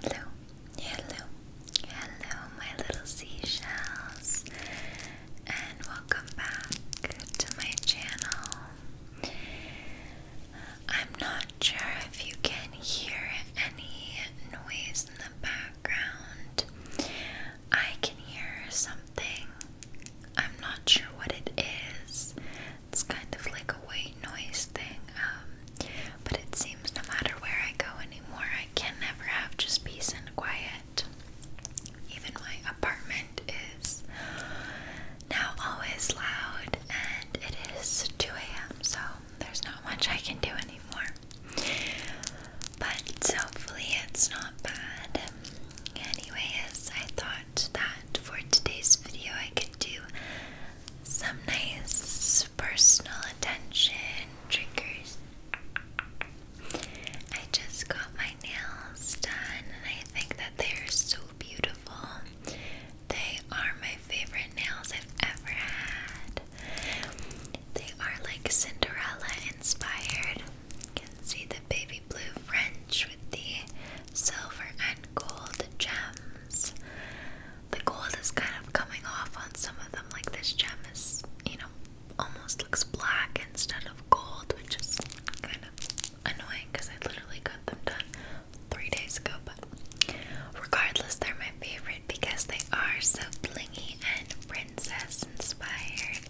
Hello, hello, hello, my little seashells, and welcome back to my channel. I'm not sure if you can hear any noise in the background. I can hear something, I'm not sure what it is, it's kind of like a white noise thing, um, but it seems no matter where I go anymore, I can never have just peace and quiet. Even my apartment is now always loud, and it is 2 a.m., so there's not much I can do anymore. But hopefully, it's not bad. Anyways, I thought that for today's video, I could do some nice personal attention triggers. I just got my nails done and I think that they are so beautiful. They are my favorite nails I've ever had. They are like Cinderella inspired. You can see the baby blue French with the silver and gold gems the gold is kind of coming off on some of them. Like this gem is, you know, almost looks black instead of gold, which is kind of annoying because I literally got them done three days ago. But regardless, they're my favorite because they are so blingy and princess inspired.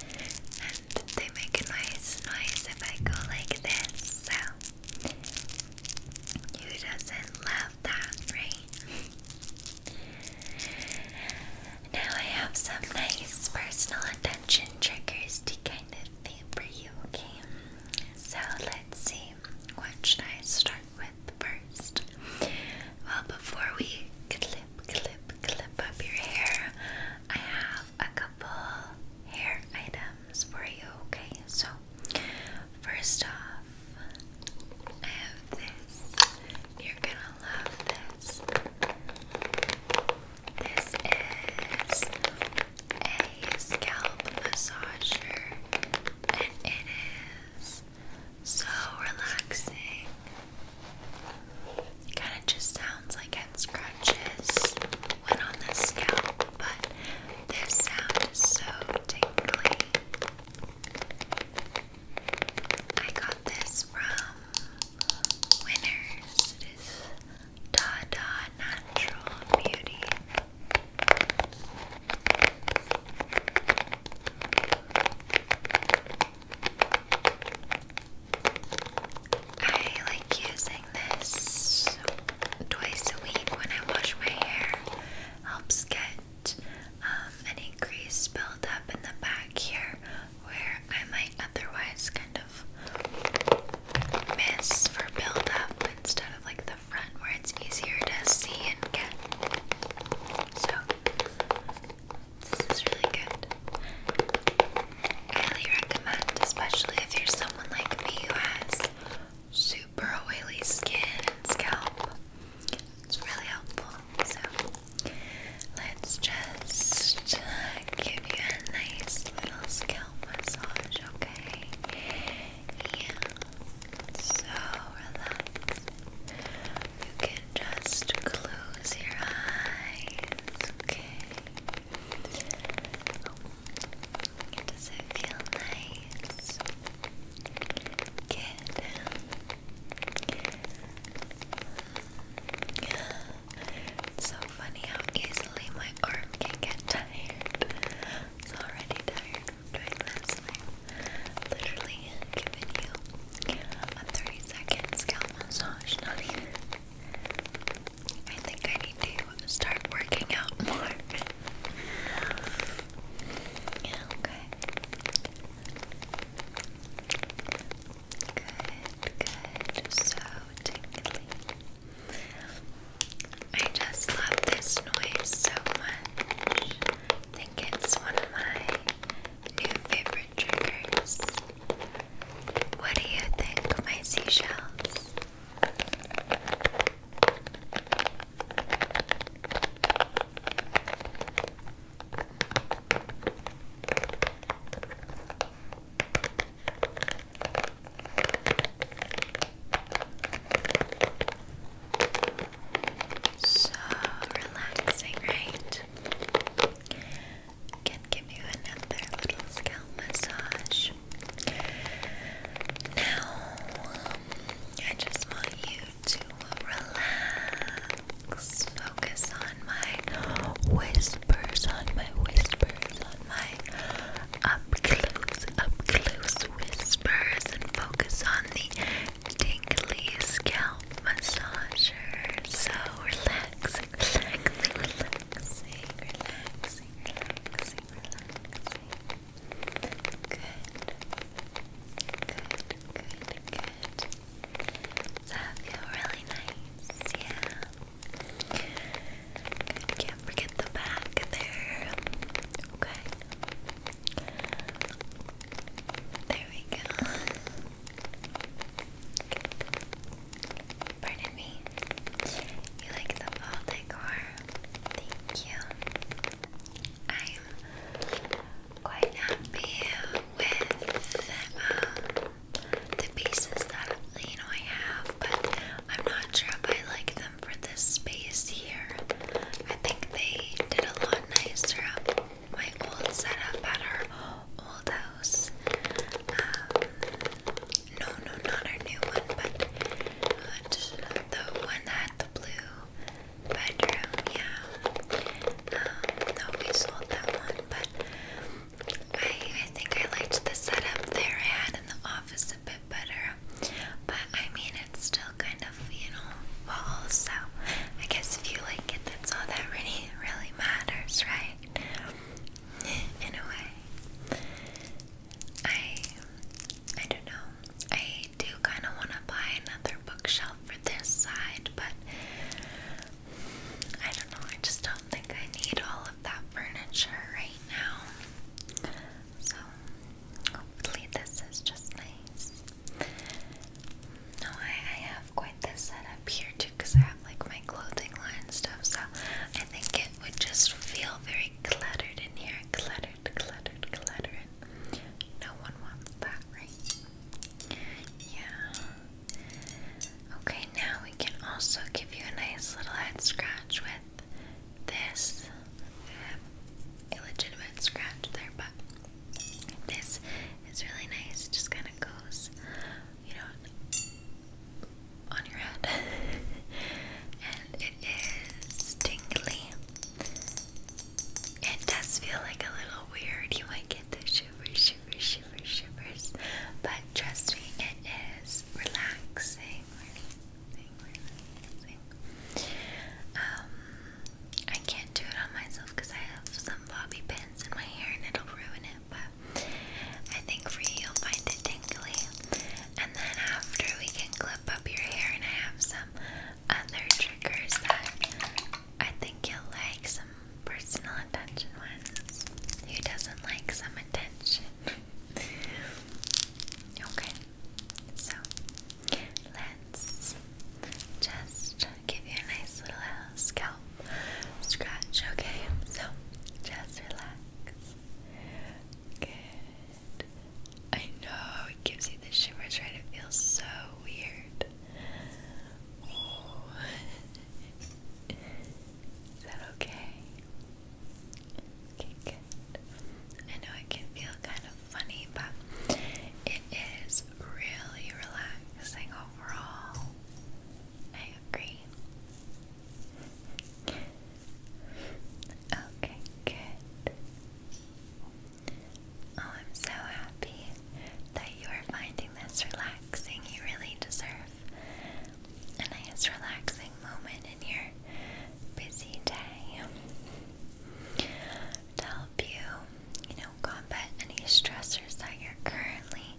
And they make a nice noise if I go like this. So you doesn't love that, right? now I have some nice personal attention triggers to kind of think for you, okay? So let's see, what should I start with first? Well, before we clip, clip, clip up your hair, I have a couple hair items for you, okay? So, first off, I have this. You're gonna love this. This is a scalp massager, and it is so relaxing. kind of just sounds like it scratches when on the scalp, but this sound is so tingly. I got this from Winners. It is Dada Natural Beauty. I like using this twice a week when I wash my hair helps get um, any grease increased buildup in the back here where I might otherwise kind of miss for buildup instead of like the front where it's easier to see and get. So, this is really good. highly recommend, especially if you're someone like me who has super oily skin and scalp. It's really helpful. So let's just uh, give you a nice little scalp massage, okay? Yeah. So relax. You can just close your eyes, okay? Does it feel nice? Good. so funny how easily my arm can get tired. It's already tired doing this. literally giving you a 30 second scalp massage, I think I need to start working out more okay. Good, good. So tingly. I just love this noise so much. I think it's one of my new favorite triggers. What do you think, my seashells? So relaxing, right? Can give you another little scalp massage. Now, um, I just want you to relax, focus on my whispers, on my whispers, on my up close, up close whispers, and focus on the tingly scalp massager. So relax, relax, relaxing, relaxing, relaxing, relaxing. Good, good, good. So I feel really nice, yeah. can't forget the back there. Okay. There we go. Pardon me. You like the fall decor? Thank you. I'm quite happy with um, the pieces that you know I have, but I'm not sure if I like them for this space here. I think they did a lot nicer up my old setup at our old house. Um, no, no, not our new one, but uh, the one that the blue bedroom, yeah. Um, no, we sold that one, but I, I think I liked the setup there I had in the office a bit better. But I mean, it's still kind of, you walls, so I guess if you like it, that's all that really, really matters, right? In a way. I I don't know. I do kind of want to buy another bookshelf for this side, but I don't know. I just don't think I need all of that furniture right now. So hopefully, this is just nice. No, I, have quite the setup here too because I have like my clothing line stuff, so I think it would just feel very cluttered in here. Cluttered, cluttered, cluttered. No one wants that, right? Yeah. Okay, now we can also give you a nice little head scratch with this. a legitimate scratch there, but this is really nice. It just kind of goes, you know, on your head. it is tingly. It does feel like a little weird. You might get the shivers, shivers, shivers, shivers, but trust me, it is relaxing. Um, I can't do it on myself because I have some bobby pins in my hair and it'll ruin it. But I think for you, you'll find it tingly. And then after we can close up your hair, and I have some other triggers that I think you'll like. Some personal attention ones. Who doesn't like some attention? okay, so let's just give you a nice little scalp scratch, okay? So just relax. Good. I know it gives you the shivers, right? It feels so weird. Is that okay? Okay, good. I know it can feel kind of funny, but it is really relaxing overall. I agree. Okay, good. Oh, I'm so happy that you are finding this relaxing. You really deserve a nice, relaxing moment in your busy day to help you, you know, combat any stressors that you're currently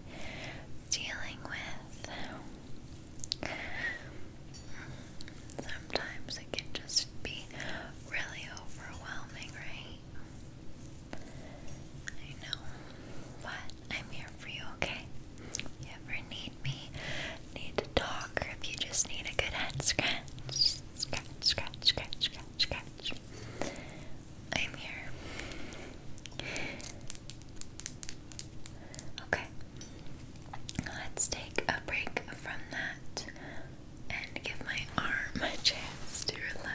dealing with. Sometimes it can just be really overwhelming, right? I know, but I'm here for you, okay? you ever need me, need to talk, or if you just need a good head scratch, scratch, scratch, scratch, scratch, scratch, I'm here. Okay, let's take a break from that and give my arm a chance to relax.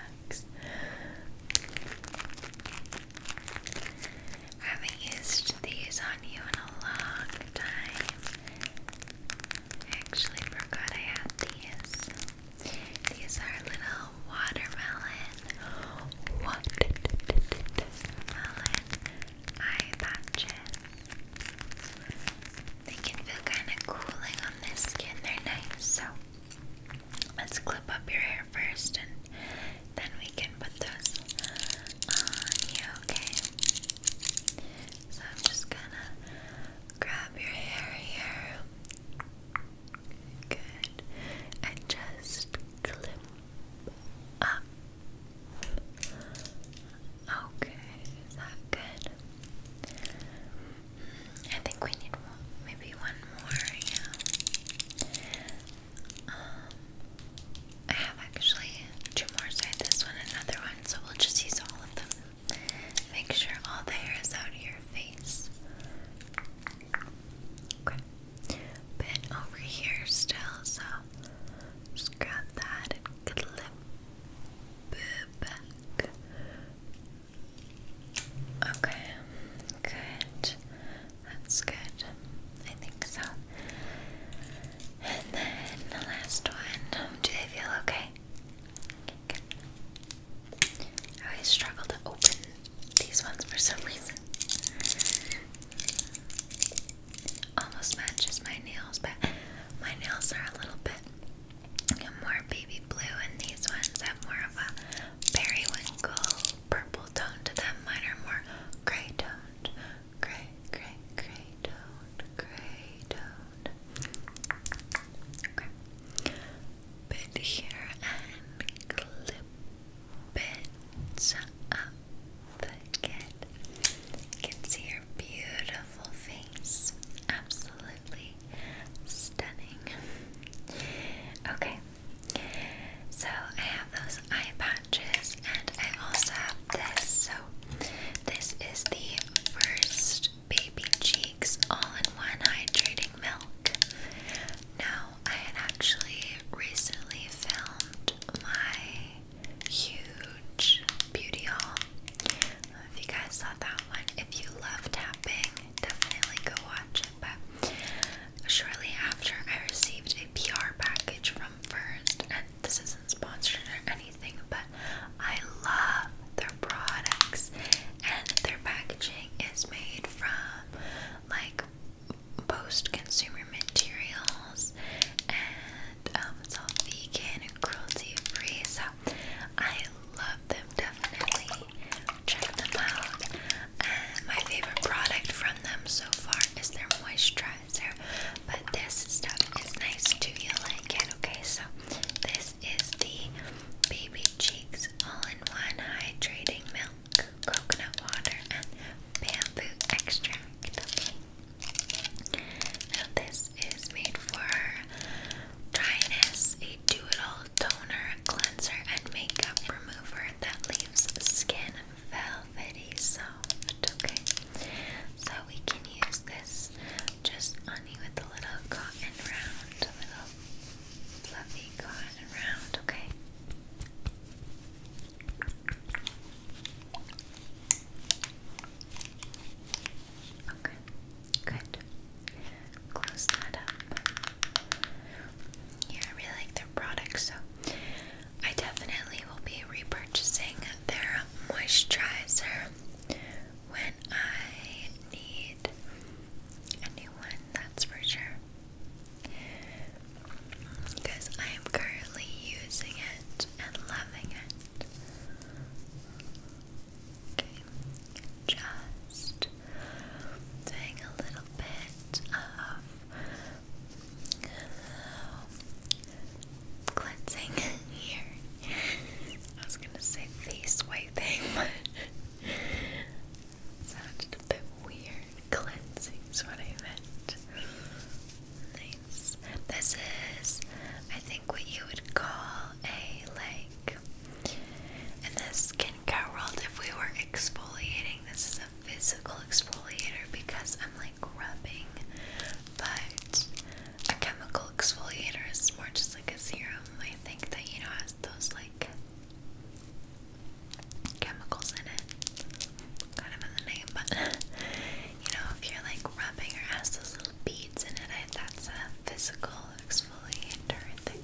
haven't used these on you in a long time. actually forgot I had these. These are little watermelon, watermelon eye patches. They can feel kind of cooling on this skin. They're nice. So let's clip up your hair first and then we can put those on you, okay? So I'm just gonna grab your hair here. Good. And just clip up. Okay, is that good? I think we need maybe one more, yeah. Um, I have actually two more, so this one another one, so we'll just use all of them. Make sure all the hair is out of your face. bit over here still, so just grab that and clip. Okay, good. That's good. I think so. And then the last one. Do they feel okay? I always struggle to open these ones for some reason. Almost matches my nails, but my nails are a little bit more baby blue, and these ones have more of a periwinkle purple tone to them. Mine are more gray toned, gray, gray, gray toned, gray toned. Okay, put here and clip it up. But get, can see your beautiful beautiful face. Absolutely stunning. Okay, so I have those eye patches, and I also have this. So, this is the first Baby Cheeks All in One Hydrating Milk. Now, I had actually recently filmed my huge beauty haul if you guys saw that one, if you love tapping, definitely go watch it. But shortly after, I received a PR package from First, and this isn't sponsored or anything, but I love their products, and their packaging is made from like post consumer materials, um, it's all vegan and cruelty free. So I love them definitely. Check them out. my favorite product from them so far is their moisturizer. But this stuff is nice too. You like it, okay? So this is the Baby Cheeks All-in-One Hydrating Milk, Coconut Water, and Bamboo Extract. Okay this is made for dryness, a do-it-all toner, cleanser, and makeup remover that leaves skin velvety soft. Okay, so we can use this just on you with a little cotton round, a little fluffy cotton round. Okay. Okay, good. Close that up. Yeah, I really like their products, so I definitely will be repurchasing their moisturizer when I need a new one, that's for sure. Because I am currently using it and loving it just doing a little bit of cleansing here. I was gonna say face wiping, but it a bit weird. Cleansing is what I meant. Nice. This is, think what you would call a like in the skincare world if we were exfoliating this is a physical exfoliator because I'm like rubbing but a chemical exfoliator is more just like a serum I think that you know has those like chemicals in it kind of in the name but you know, if you're like rubbing or has those little beads in it, I, that's a physical exfoliator, I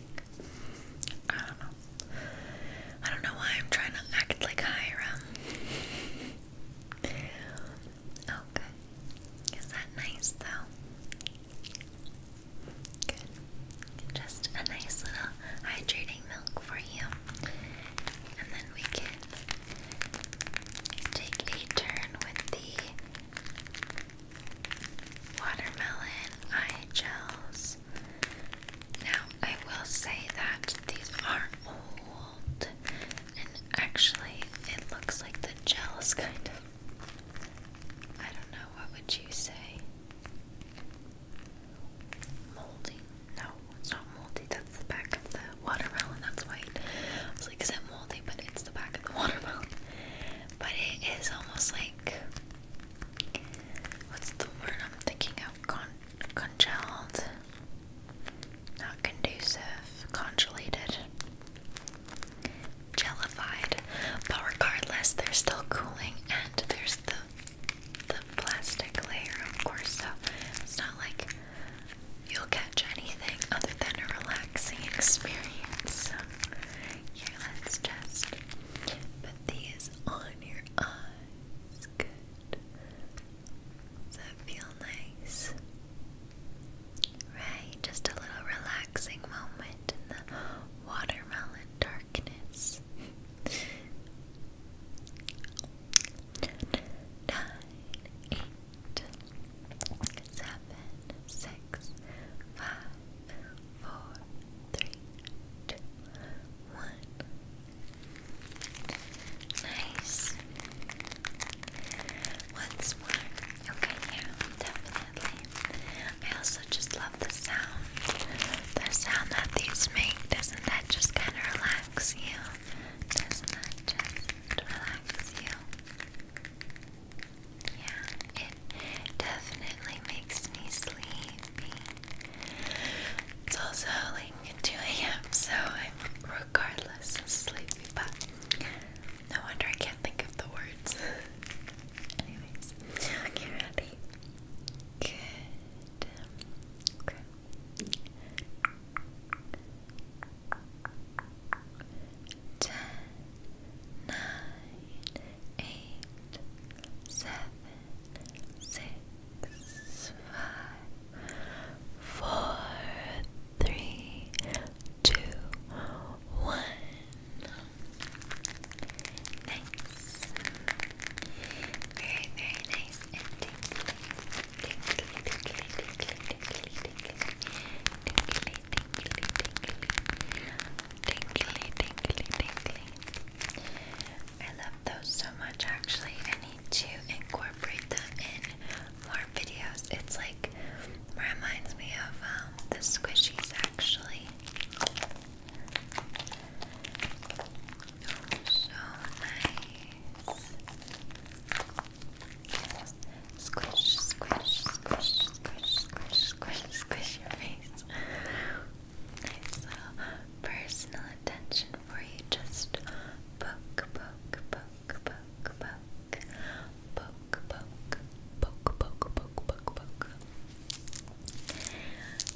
I don't know. I don't know why I'm trying to act like Hiram. Okay. Oh, Is that nice though? Good. Just a nice little hydrating milk for you. And then we can take a turn with the Watermelon eye gels. Now, I will say that these are old, and actually, it looks like the gel is kind of. I don't know, what would you say? Moldy? No, it's not moldy, that's the back of the watermelon, that's white is like scent moldy, but it's the back of the watermelon. But it is almost like what's the word I'm thinking of? Con congealed, not conducive, congelated, jellified. But regardless, they're still cooling, and there's the the plastic layer, of course. So it's not like you'll catch anything other than a relaxing experience. here, let's just put these on your eyes. Good. Does that feel nice? Right? Just a little relaxing moment in the watermelon darkness. Nine, eight, seven, six, five, four, three, two, one. Nice. Once more. Okay, yeah, definitely. I also just love the sound. The sound that these make, doesn't that just kind of relax you? Doesn't that just relax you? Yeah, it definitely makes me sleepy. It's also like 2 a.m., so I'm regardless sleepy, but no wonder I can't think of the words. Anyways, okay, ready? Good. Okay ten, nine, eight, seven, six, five, four, three, two, one. Nice. Very, very nice and tingly, tingly, tingly. I love those so much actually. I need to incorporate them in more videos. It's like reminds me of um, the squishies actually. Oh, so nice. Squish, squish, squish, squish, squish, squish, squish your face. personal attention for you. Just poke, poke, poke, poke, poke, poke, poke, poke, poke, poke, poke, poke.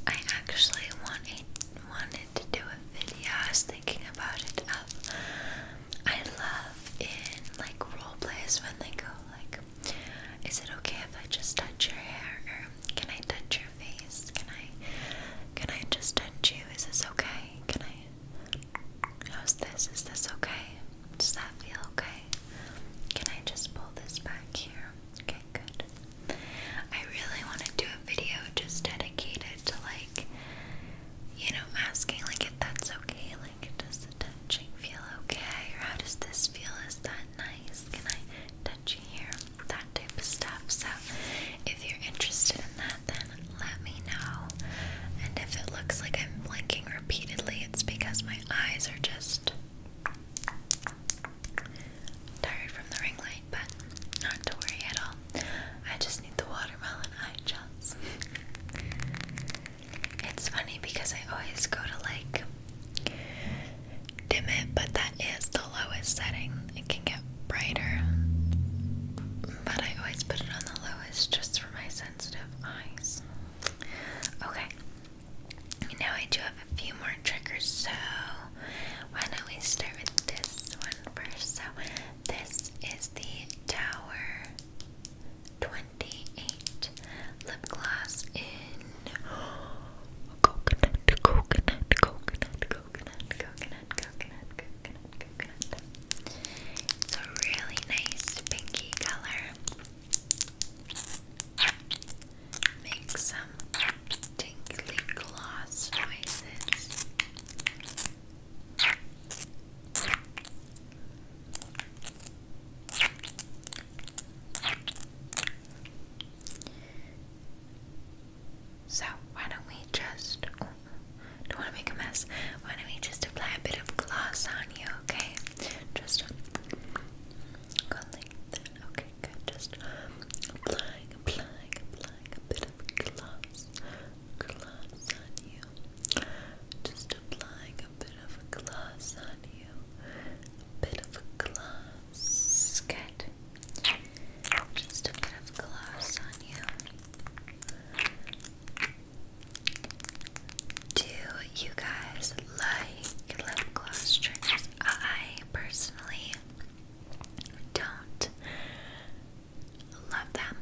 I actually wanted wanted to do a video. I was thinking about it I love in like role plays when they go like, "Is it okay if I just touch your hair?" or "Can I touch your face? Can I, can I just touch you? Is this okay? Can I? How's this? Is this okay? Does that feel okay? Can I just pull this back here? Okay, good. I really want to do a video just dedicated to like, you know, asking like if that's okay, like does the touching feel okay? Or how does this feel? Is that nice? Can I touch you here? That type of stuff. So, if you're interested in that, then let me know. And if it looks like I'm blinking repeatedly, it's because my eyes are just tired from the ring light, but not to worry at all. I just need the watermelon eye It's funny because I always go to like dim it, but that is the lowest setting. It can get brighter, but I always put it on the lowest just for my sensitive eyes. Okay, now I do have a few more triggers, so why don't we start with this one first? So, this is the Tower 28 lip gloss in coconut, coconut, coconut, coconut, coconut, coconut, coconut, coconut. It's a really nice pinky color. Make some tingly gloss noises. So, why don't we just. don't want to make a mess. Why don't we just apply a bit of gloss on you, okay? Just go Okay, Just applying, applying, applying a bit of gloss. Gloss on you. Just applying a bit of a gloss on you. A bit of a gloss. Good. Just a bit of gloss on you. Do you guys like lip gloss triggers? I personally don't love them.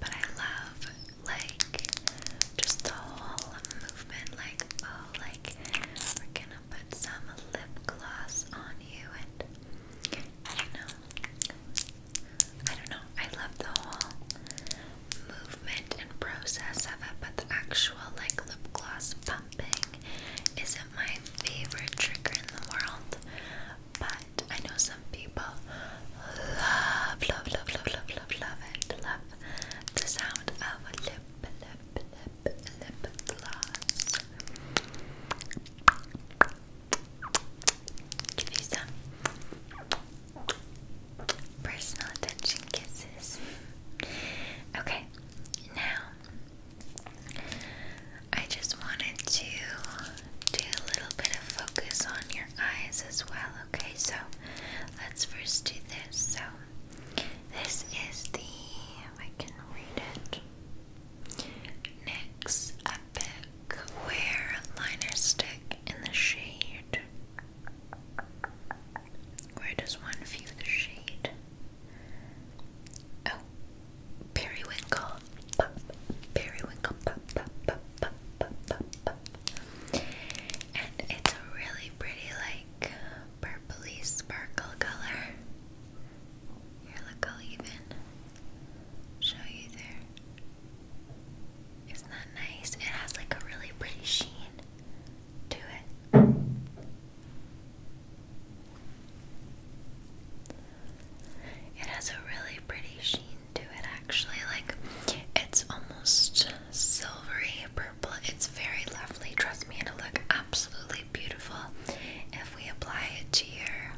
But I love like just the whole movement, like oh, like we're gonna put some lip gloss on you, and I don't know, I don't know. I love the whole movement and process of it, but the actual like lip gloss pumping isn't my favorite trigger in the world. But I know some people love, love, love, love, love, love, love it. Love the sound of a lip, lip, lip, lip gloss. Give you some personal attention kisses. Okay, now I just wanted to do a little bit of focus on your eyes as well okay? So let's first do this. So this is the, I can read it, NYX Epic Wear Liner Stick in the shade. Where does one view the shade? Oh, periwinkle. periwinkle. And it's a really pretty, like, purpley sparkle color. Here, look, i even show you there. Isn't that nice? It has, like, a really pretty sheen to it. It has a really pretty sheen to it actually. Like it's almost silvery purple. It's very lovely. Trust me, it'll look absolutely beautiful if we apply it to your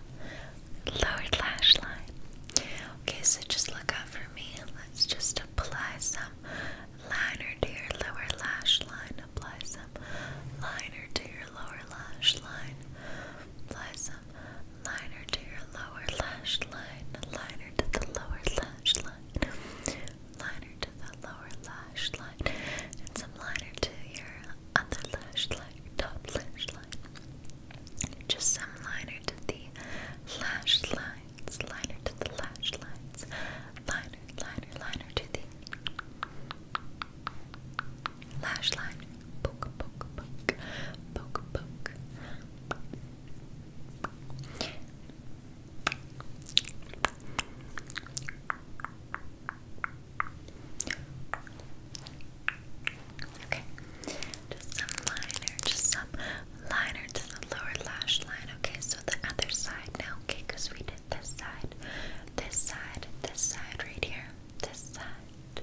lower lash line. Okay, so just look up for me. Let's just apply some liner to your lower lash line. Apply some liner to your lower lash line. Apply some liner to your lower lash line, liner to the lower lash line, liner to the lower lash line, and some liner to your other lash line, top lash line. Just some liner to the lash lines, liner to the lash lines, liner, liner, liner to the lash line. Poke, poke, poke, poke, poke. Okay, just some liner, just some liner to the lower lash line. Okay, so the other side now, okay, because we did this side, this side, this side right here, this side,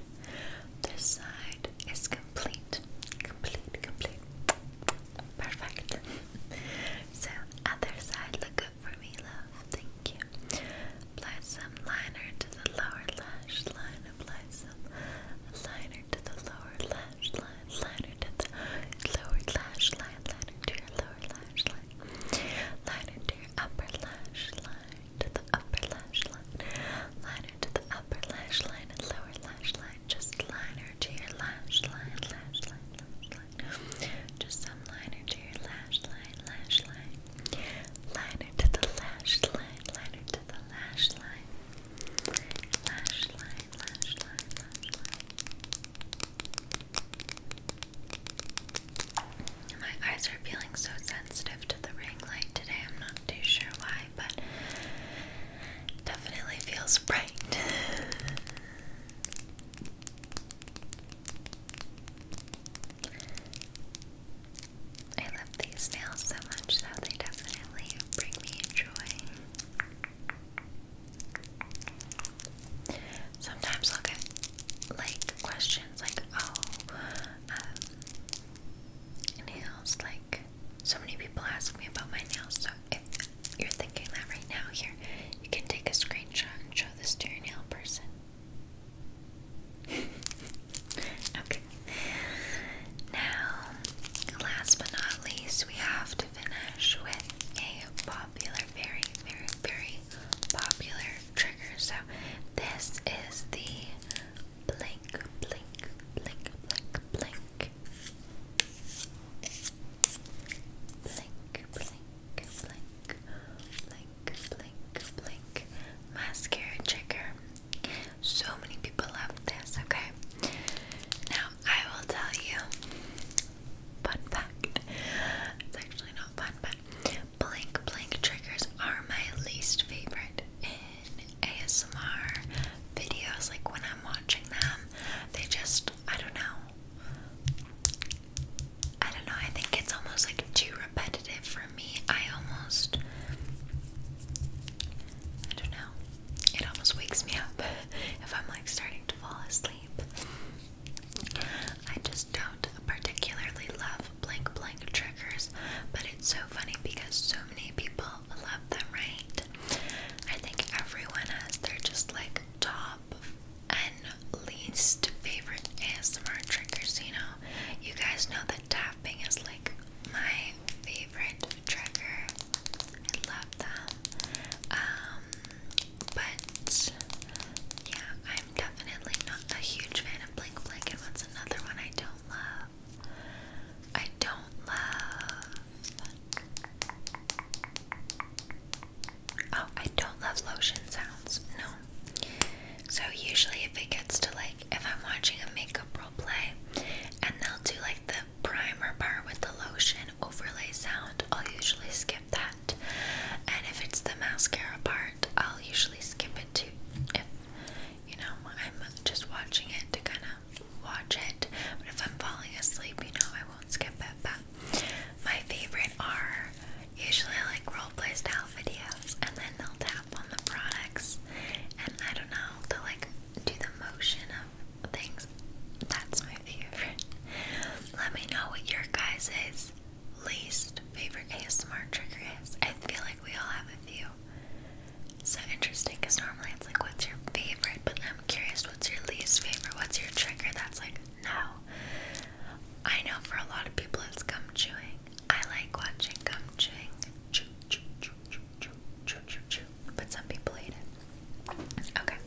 this side, it's complete. Complete, complete. Perfect. so, other side, look up for me, love. Thank you. Apply some liner to the lower lash line. Apply some liner to the lower lash line. Liner to the lower lash line. Liner to your lower lash line. Liner to your upper lash line. To the upper lash line. Liner into the upper lash line and lower lash line. Just liner to your lash line, lash line, lash line. Just some liner to your lash line, lash line. Liner to the lash line, liner to the lash line. Lash line, lash line, lash line. My eyes are feeling so sensitive to the ring light today. I'm not too sure why but definitely feels bright. I love these nails so much, that they definitely bring me joy. Sometimes I'll get like questions like, oh, um, like so many people ask me about my nails, so if you're thinking that right now, here, you can take a screenshot and show this to your nail person. okay. Now, last but not least, we have to finish with a popular, very, very, very popular trigger. So, this is the Blink, blink, blink, blink, blink. Blink, blink, blink, blink, blink, blink. Mascara trigger. So many people love this, okay? Now, I will tell you fun fact. It's actually not fun, but blink, blink triggers are my least favorite in ASMR videos, like when I'm watching them, they just, I don't know. I don't know, I think it's almost like too repetitive for me. I almost, I don't know, it almost wakes me up if I'm like starting to fall asleep. I just don't particularly love blank blank triggers, but it's so funny because so many people love them, right? I think everyone has their just like top and least favorite ASMR triggers, you know? You guys know that tapping is like my favorite trigger. I love them. Um, but yeah, I'm definitely not a huge fan of Blink Blink and what's another one I don't love. I don't love. Oh, I don't love lotion sounds. No. So usually, if it gets to like, if I'm watching a makeup role play, and they'll do like the primer part with the lotion overlay sound, I'll usually skip that. And if it's the mascara part, I'll usually skip it too. If you know, I'm just watching it to kind of watch it. But if I'm falling asleep, you know, I won't skip it. But my favorite are usually like roleplay style videos, and then they'll tap on the products, and I don't know, they'll like do the motion of things. That's my favorite. Let me know what your guys' least favorite ASMR trigger is. I feel like we all have a few. So interesting because normally it's like, what's your favorite? But I'm curious, what's your least favorite? What's your trigger that's like, no? I know for a lot of people it's gum chewing. I like watching gum chewing. Chew, chew, chew, chew, chew, chew, chew, chew. But some people hate it. Okay.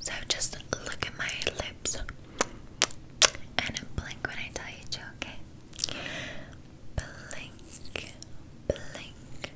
So just look at my lips and blink when I tell you to, okay? Blink, blink,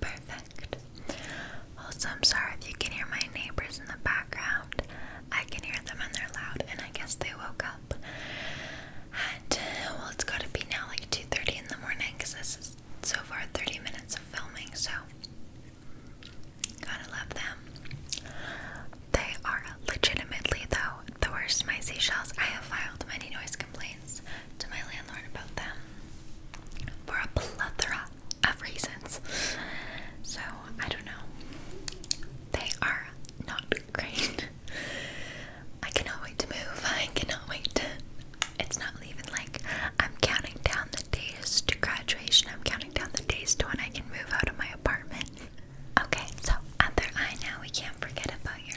Perfect. Also, I'm sorry if you can hear my neighbors in the background. I can hear them and they're loud, and I guess they woke up. And uh, well, it's got to be now like 2:30 in the morning this is so far 30 minutes of filming. So, gotta love them. They are legitimately though the worst my seashells. I have filed many noise complaints to my landlord about them for a plethora of reasons. So, I don't know. They are not great. I cannot wait to move. I cannot wait to. It's not even like I'm counting down the days to graduation, I'm counting down the days to when I can move out of my apartment. Okay, so other I now, we can't forget about your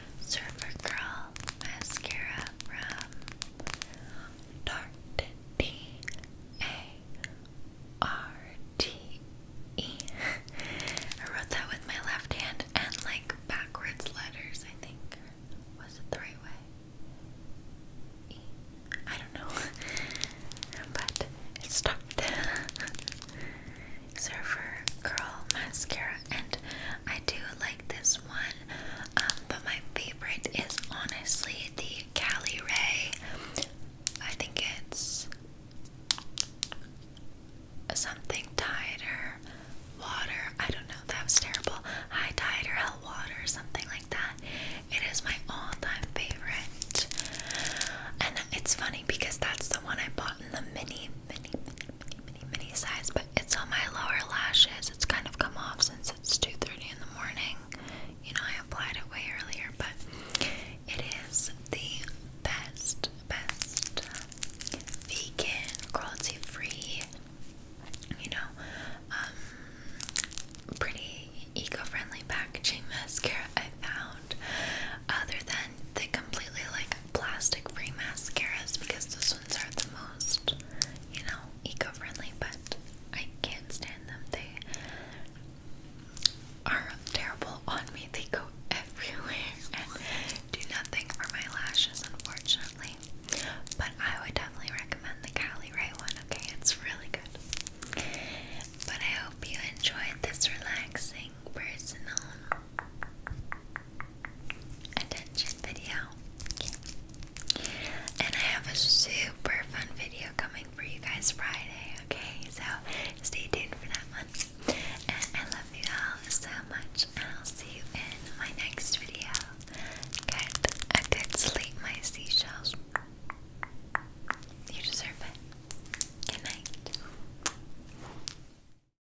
Surfer Girl Mascara from Tarte D-A-R-T-E I wrote that with my left hand and like backwards letters I think. Was it the right way? E. I don't know. but it stopped. Surfer Curl Mascara, and I do like this one, um, but my favorite is honestly the Cali Ray. I think it's something tide or water. I don't know, that was terrible. High tide or hell water, or something like that. It is my all time favorite. And it's funny because that's the one I bought in the mini mini, mini, mini, mini, mini size, but it's on my lower lashes. It's kind of come off since it's 2.30 in the morning. You know, I applied it way earlier, but it is the best, best um, vegan, cruelty-free, you know, um, pretty eco-friendly packaging mascara I found other than they completely like plastic free mascaras because those ones are the most, you know, eco friendly, but I can't stand them. They are terrible on me, they go everywhere and do nothing for my lashes, unfortunately. But I would definitely recommend the Kylie Ray one, okay? It's really good. But I hope you enjoyed this relaxing personal attention video. And I have a super fun video coming for you guys Friday, okay? So stay tuned for that one. And I love you all so much, and I'll see you in my next video. Get I did sleep, my seashells. You deserve it. Good night.